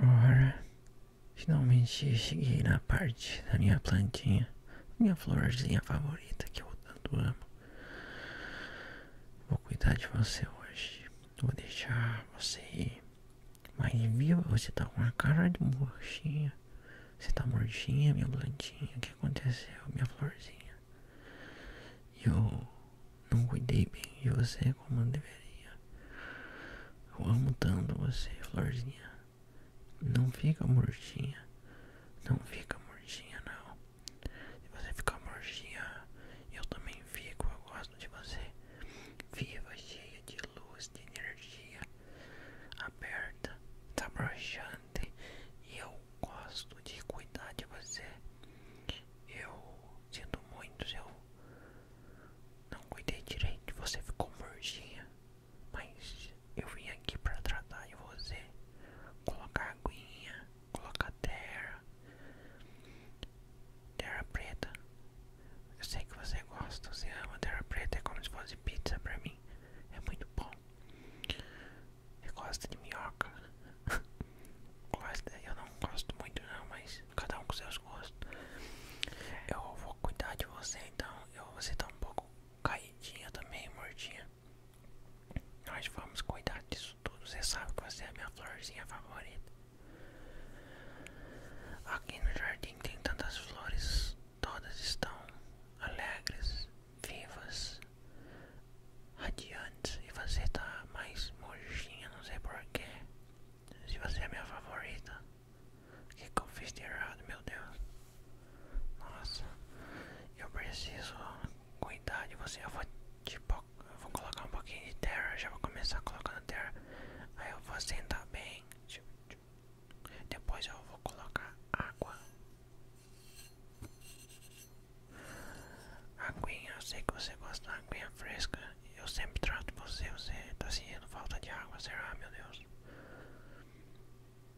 Ora, finalmente cheguei na parte da minha plantinha, minha florzinha favorita que eu tanto amo. Vou cuidar de você hoje, vou deixar você ir, mas viu, você tá com uma cara de murchinha. Você tá murchinha, minha blantinha O que aconteceu, minha florzinha? Eu não cuidei bem de você como eu deveria. Eu amo tanto você, florzinha. Não fica murchinha. Não fica murchinha, não. Se você ficar murchinha, eu também fico. Eu gosto de você, viva, cheia de luz, de energia, aberta, tá broxante. E eu gosto de cuidar de você. Eu sinto muito, eu não cuidei direito, você ficou mortinha, mas eu vim aqui para tratar de você, colocar aguinha, colocar terra. Terra Preta. Eu sei que você gosta, você ama Terra Preta, é como se fosse pizza pra mim. É muito bom. Você gosta de minhoca? eu não gosto muito não, mas cada um com seus gostos. Eu vou cuidar de você então, eu, você tá um pouco caidinha também, mordinha. Nós vamos cuidar disso tudo, você sabe que você é a minha florzinha favorita. Aqui no jardim tem tantas flores, todas estão alegres, vivas, radiantes. E você está mais mojinha, não sei porquê. Se você é minha favorita, o que, eu fiz de errado, meu Deus? Nossa, eu preciso cuidar de você. eu vou tipo, colocar um pouquinho de terra, já vou começar colocando terra. Aí eu vou sentar bem depois eu vou colocar água. Aguinha, eu sei que você gosta da água fresca. Eu sempre trato você, você tá sentindo falta de água, será, meu Deus?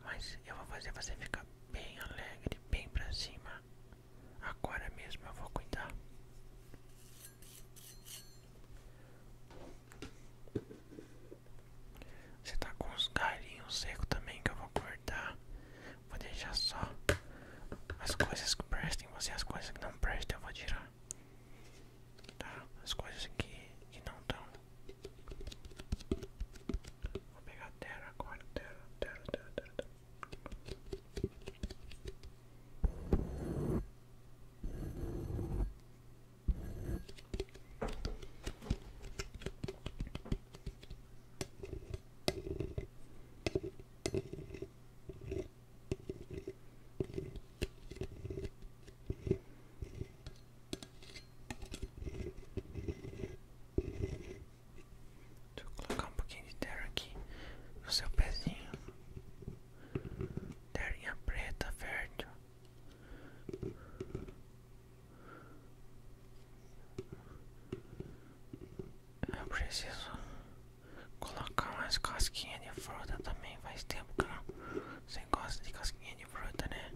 Mas eu vou fazer você ficar bem alegre, bem pra cima. Agora mesmo eu vou cuidar. Você tá com os galinhos seco também que eu vou cortar. Vou deixar só as coisas que prestem você, as coisas que não prestem eu vou tirar. Tá? As coisas aqui que não estão. Vou pegar terra agora, terra, terra, terra, terra. terra. Deixa eu colocar um pouquinho de terra aqui no seu pezinho. Terrinha preta, verde Eu preciso colocar umas casquinhas de fruta também. Faz tempo que não. Você gosta de casquinha de fruta, né?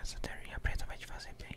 Essa terinha preta vai te fazer bem.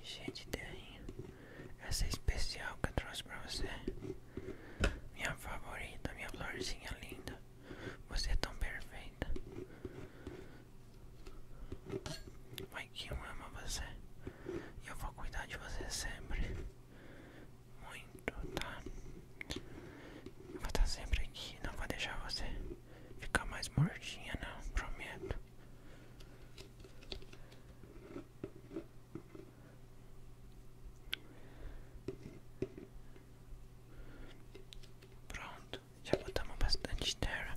Encher de terrinho. Essa é especial que eu trouxe pra você. Minha favorita, minha florzinha linda. Você é tão perfeita. Vai que eu amo você. E eu vou cuidar de você sempre muito, tá? Eu vou estar tá sempre aqui, não vou deixar você ficar mais mortinha, não, prometo. Pronto, já botamos bastante terra.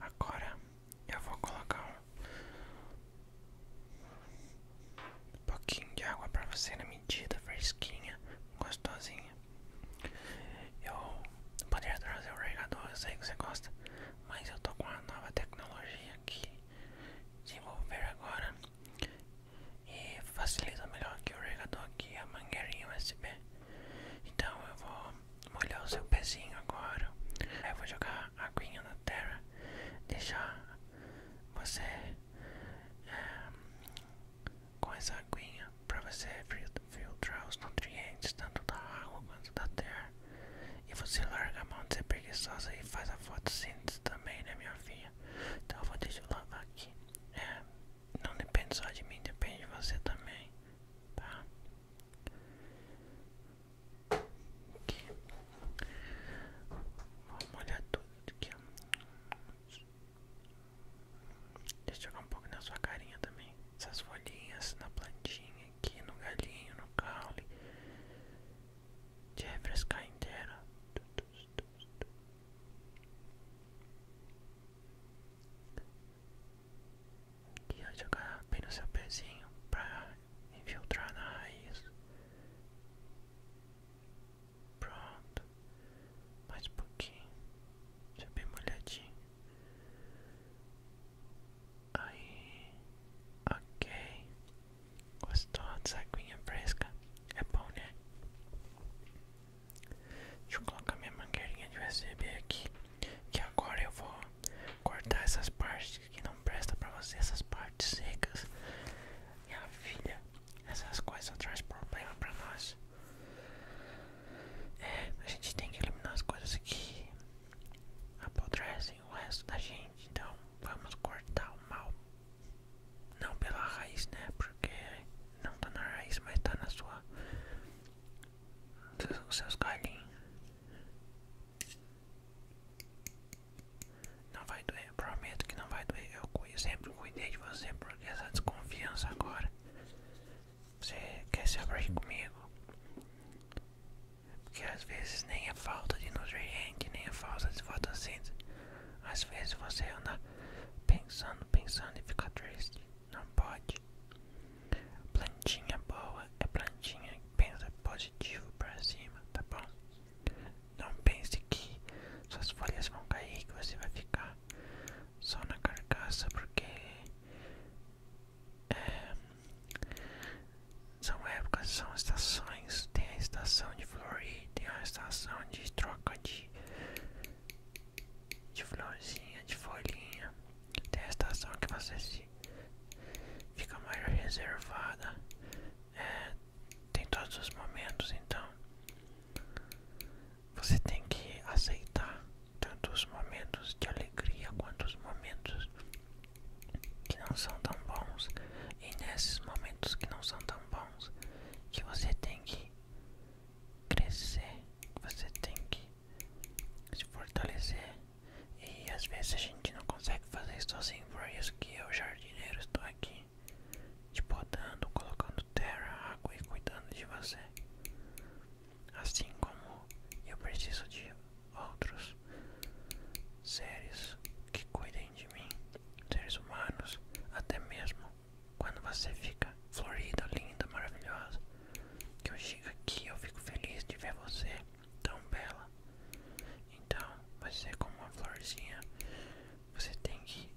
Agora eu vou colocar um pouquinho de água para você na medida fresquinha, gostosinha. Eu poderia trazer o regador, eu sei que você gosta, mas eu tô com uma nova tecnologia que desenvolver agora e é, facilita melhor que o regador aqui a mangueirinha USB. Então eu vou molhar o seu pezinho agora. Aí eu vou jogar a aguinha na terra, deixar você eh, com essa aguinha para você filtrar os nutrientes tanto da água quanto da terra. E você larga a mão de ser preguiçosa e faz a fotossíntese também, né, minha filha? Então eu vou deixar lavar aqui. É, não depende só de mim, depende de você também, tá? Aqui. Vamos molhar tudo aqui, Deixa eu jogar um pouco na sua carinha também. Essas folhinhas na plantinha aqui, no galinho, no caule. De refrescar inteira. Tu, tu, Aqui eu jogar bem no seu pezinho para infiltrar na raiz. Pronto, mais um pouquinho, já bem molhadinho. Aí, ok. Gostou dessa aguinha fresca? É bom, né? Deixa eu colocar minha mangueirinha de USB aqui. Que agora eu vou cortar essas partes que não presta pra você, essas partes secas. Minha filha, essas coisas trazem problema pra nós. É, a gente tem que eliminar as coisas que apodrecem o resto da gente. Então vamos cortar o mal não pela raiz, né? Porque não tá na raiz, mas tá na sua. seus galinhos Não vai doer, prometo que não vai doer. Eu sempre cuidei de você porque essa desconfiança agora. Você quer se abrir comigo? Porque às vezes nem é falta de nutriente, nem é falta de fotossíntese. Às vezes você anda pensando, pensando e fica triste. Não pode. Plantinha boa é plantinha que pensa positivo pra cima, tá bom? Não pense que suas folhas vão cair e que você vai ficar só na carcaça porque é, são épocas, são estações. Tem a estação de florir, tem a estação de troca de de florzinha, de folhinha. Tem a estação que você se fica mais reservada. É, tem todos os momentos, então você tem que aceitar tantos momentos de alegria quanto os momentos que não são tão bons. E nesses momentos que não são tão bons, que você tem que crescer, você tem que se fortalecer. E às vezes a gente não consegue fazer isso sozinho, por isso que eu, jardineiro, estou aqui te podando, colocando terra, água e cuidando de você. Assim como eu preciso de outros seres que cuidem de mim, seres humanos, até mesmo quando você fica florida, linda, maravilhosa, que eu chego aqui, eu fico feliz de ver você tão bela. Então, você como uma florzinha, você tem que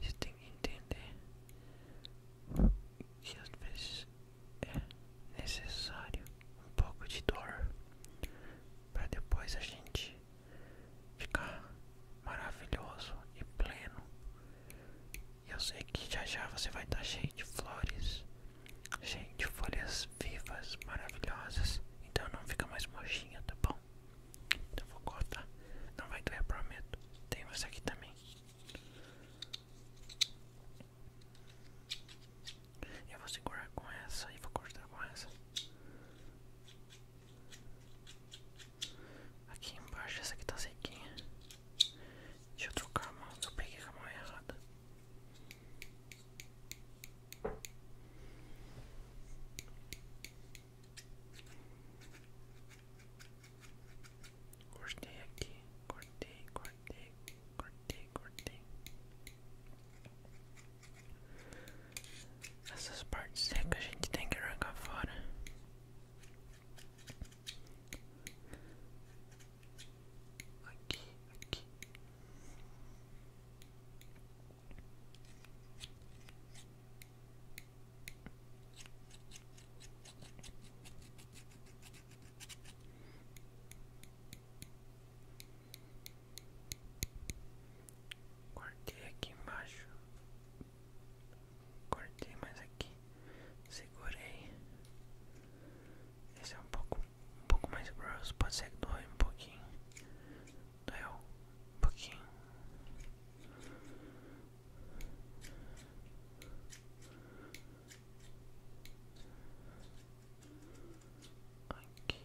você tem que entender que às vezes é necessário um pouco de dor para depois a gente ficar maravilhoso e pleno. E eu sei que já já você vai estar cheio de flores, gente, folhas vivas, maravilhosas. Então não fica mais mojinha, tá bom? Então vou cortar. Não vai doer, prometo. Tem essa aqui também. Eu vou segurar com essa e vou cortar com essa. Aqui embaixo, essa aqui tá sequinha. Deixa eu trocar a mão, eu peguei a mão errada. Cortei aqui, cortei, cortei, cortei, cortei. Essas partes secas a gente tem que arrancar fora. Aqui, aqui. Cortei aqui embaixo. Cortei mais aqui. Segurei. Esse é um pouco, um pouco mais grosso. Pode ser que doe um pouquinho. Doeu um pouquinho. Aqui.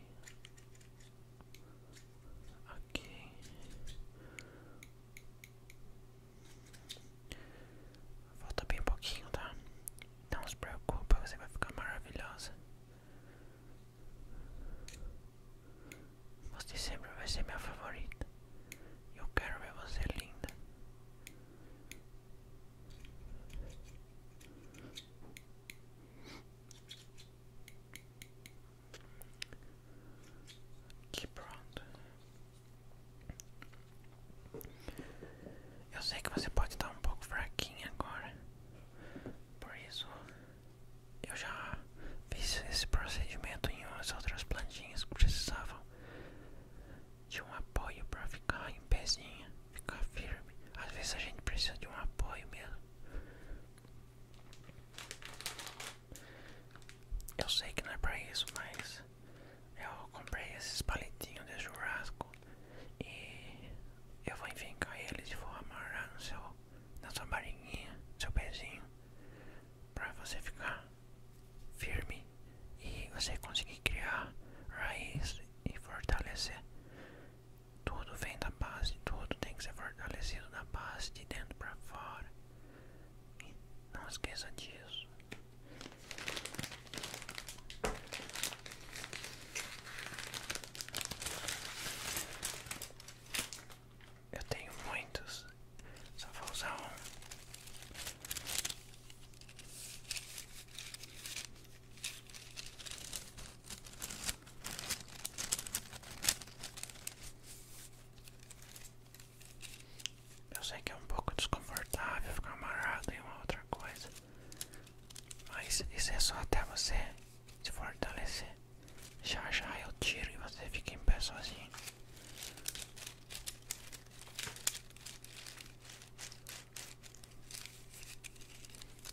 Aqui. Falta bem um pouquinho, tá? Não se preocupe, você vai ficar maravilhosa. Você sempre vai ser minha favorita. Eu quero ver você linda. Que pronto. Eu sei que você pode estar um pouco fraquinha agora. Por isso, eu já fiz esse procedimento em umas outras plantinhas que precisavam de um apoio para ficar em pezinha, ficar firme. Às vezes a gente precisa de um apoio mesmo. Eu sei que não é pra isso, mas eu comprei esses palitinhos de churrasco e eu vou enfincar eles e vou amarrar no seu, na sua barriguinha, seu pezinho, pra você ficar firme e você conseguir criar raiz e fortalecer tudo vem da base, tudo tem que ser fortalecido da base, de dentro para fora. E não esqueça disso. Eu tenho muitos, só vou usar um. Eu sei que é um pouco desconfortável ficar amarrado em uma outra coisa, mas isso é só até você se fortalecer. Já já eu tiro e você fica em pé sozinho.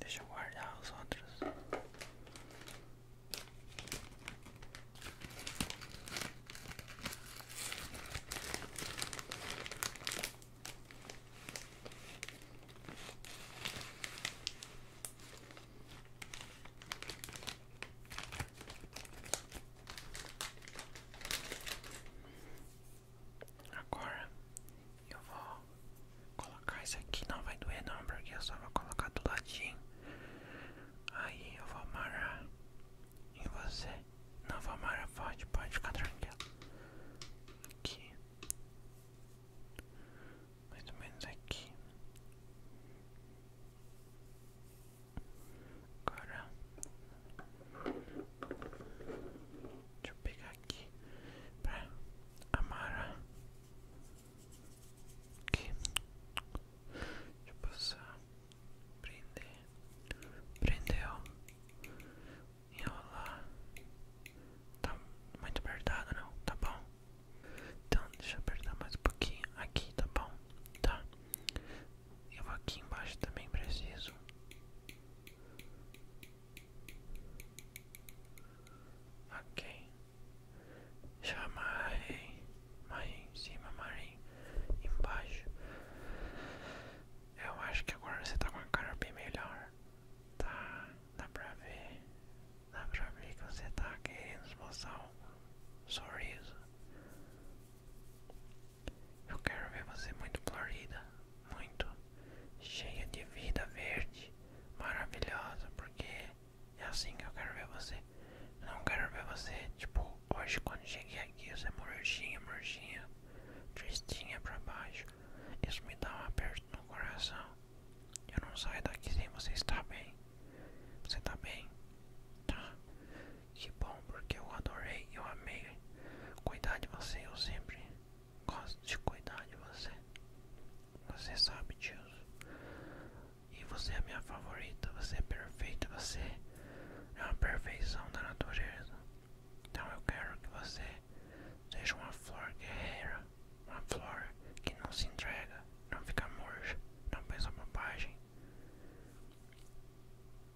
Deixa eu guardar os outros. Agora eu vou colocar isso aqui, não vai doer não, porque eu só vou colocar do ladinho. Aí eu vou amarrar em você. Não vou amarrar pode pode ficar tranquilo. Aqui. Mais ou menos aqui. Agora. Deixa eu pegar aqui pra amarrar. Aqui. Deixa eu passar. Prender. Prendeu. Enrolar. Tá muito apertado, não? Tá bom. Então, deixa eu apertar mais um pouquinho. Aqui, tá bom? Tá. Eu vou aqui embaixo também preciso. Ok. Chamarei. Marim em cima, marim embaixo. Eu acho que agora você tá com a cara bem melhor. Tá, dá pra ver. Dá pra ver que você tá querendo mostrar um sorriso. Eu quero ver você muito florida, muito cheia de vida verde, maravilhosa, porque é assim que eu quero ver você. não quero ver você, tipo, hoje quando cheguei aqui, você é murchinha, murchinha, tristinha pra baixo. Isso me dá um aperto no coração. Eu não saio daqui sem você estar bem. Você tá bem? Tá. Que bom, porque eu adorei, eu amei cuidar de você, eu sempre gosto de cuidar de você. Você sabe disso. E você é a minha favorita. Você é perfeita. Você é uma perfeição da natureza. Então eu quero que você seja uma flor guerreira. Uma flor que não se entrega, não fica murcha, não pensa bobagem.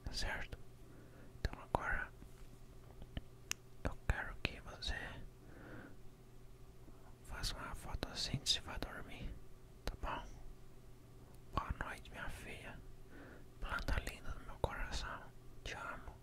Tá certo? Então agora eu quero que você faça uma fotossíntese assim e vá dormir, tá bom? Boa noite, minha filha, planta linda do meu coração, te amo.